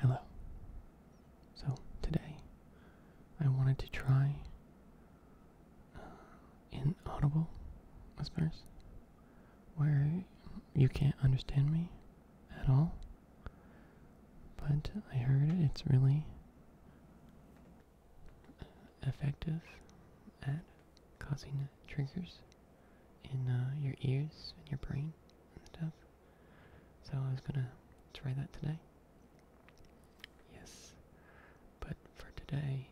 Hello. So, today I wanted to try inaudible uh, whispers where you can't understand me at all, but I heard it's really effective at causing triggers in uh, your ears and your brain stuff. So I was gonna try that today. Yes. But for today,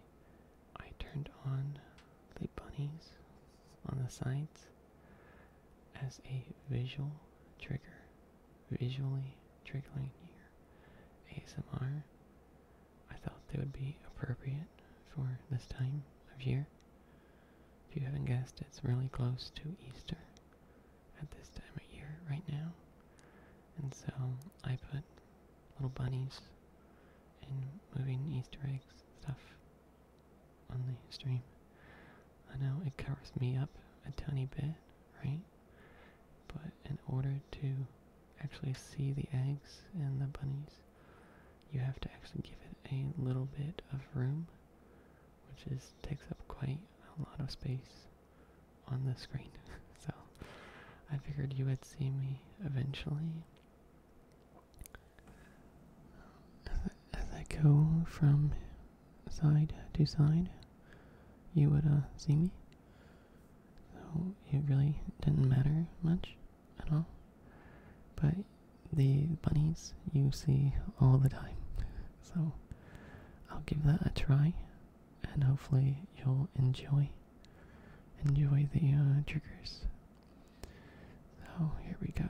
I turned on the bunnies on the sides as a visual trigger. Visually triggering here. ASMR. I thought they would be appropriate for this time of year. If you haven't guessed, it's really close to Easter at this time of year right now. And so I put little bunnies and moving Easter eggs stuff on the stream. I know it covers me up a tiny bit, right? But in order to actually see the eggs and the bunnies, you have to actually give it a little bit of room which is takes up quite a lot of space on the screen. so I figured you would see me eventually. As I, go from side to side, you would uh, see me. So it really didn't matter much at all. But the bunnies you see all the time. So I'll give that a try and hopefully you'll enjoy enjoy the uh, triggers. So here we go.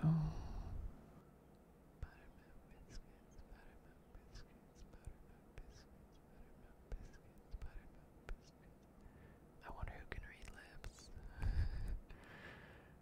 I wonder who can read lips.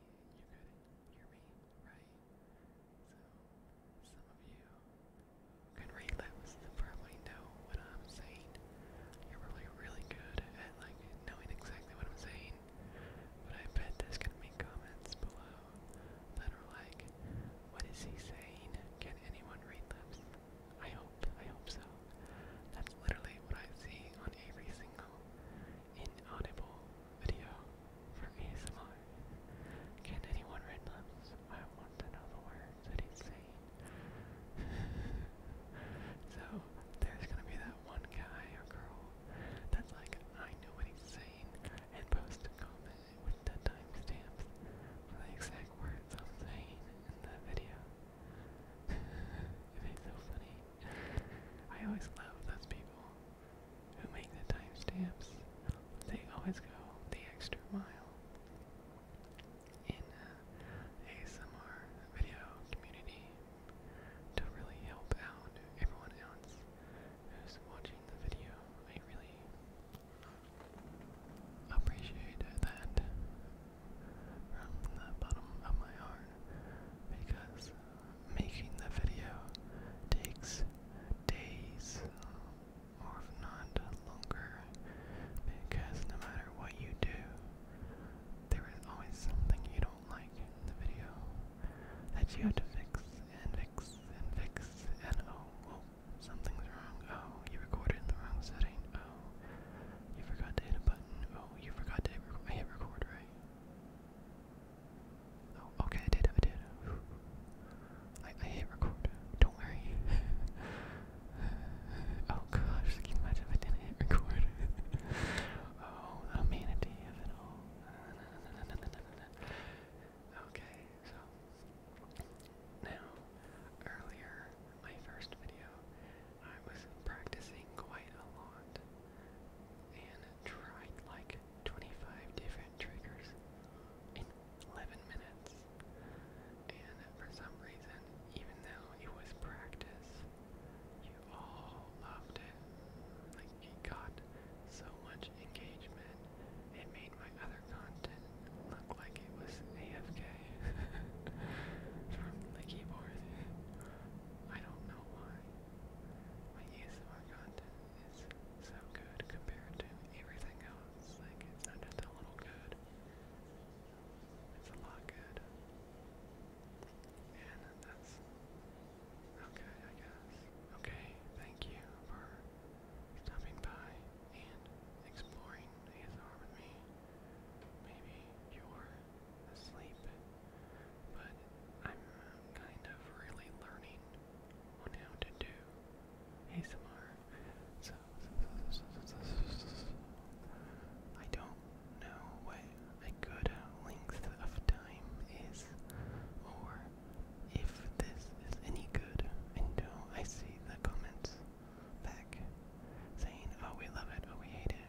you could hear me, right? So some of you can read lips probably know what I'm saying. You're probably really good at like knowing exactly what I'm saying. But I bet there's gonna be comments below that are like, what is he saying? Can anyone read lips? I hope, I hope so. That's literally what I see on every single inaudible video for ASMR. Can anyone read lips? I want to know the words that he's saying. so there's gonna be that one guy or girl that's like, I know what he's saying, and post a comment with the timestamps for the exact words I'm saying in the video it's so funny. I always love those people who make the timestamps. They always go the extra mile in uh, ASMR video community to really help out everyone else who's watching the video. I really appreciate that from the bottom of my heart because making the video takes days or if not longer because no matter what you do, there is always something you don't like in the video that you have to fix and fix and fix and oh, oh something's wrong, oh, you recorded in the wrong setting, oh, you forgot to hit a button, oh, you forgot to hit, rec hit record, right? Oh, okay, I did, I did. I, hit record. Don't worry. oh gosh, can you if I didn't hit record? oh, the amenity of it all. okay, so now, earlier, my first video, I was practicing quite a lot and tried like 25 different triggers in 11 minutes. And for some reason, even though it was practice, you all loved it. Like it got so much engagement, it made my other content look like it was AFK from the keyboard. I don't know why my ASMR content is so good compared to everything else. Like, it's not just a little good, it's a lot good. And that's okay, I guess. Okay, thank you for stopping by and exploring ASMR with me. Maybe you're asleep, but I'm kind of really learning on how to do ASMR. So, I don't know what a good length of time is, or if this is any good until I see the comments back saying, oh, we love it, oh, we hate it,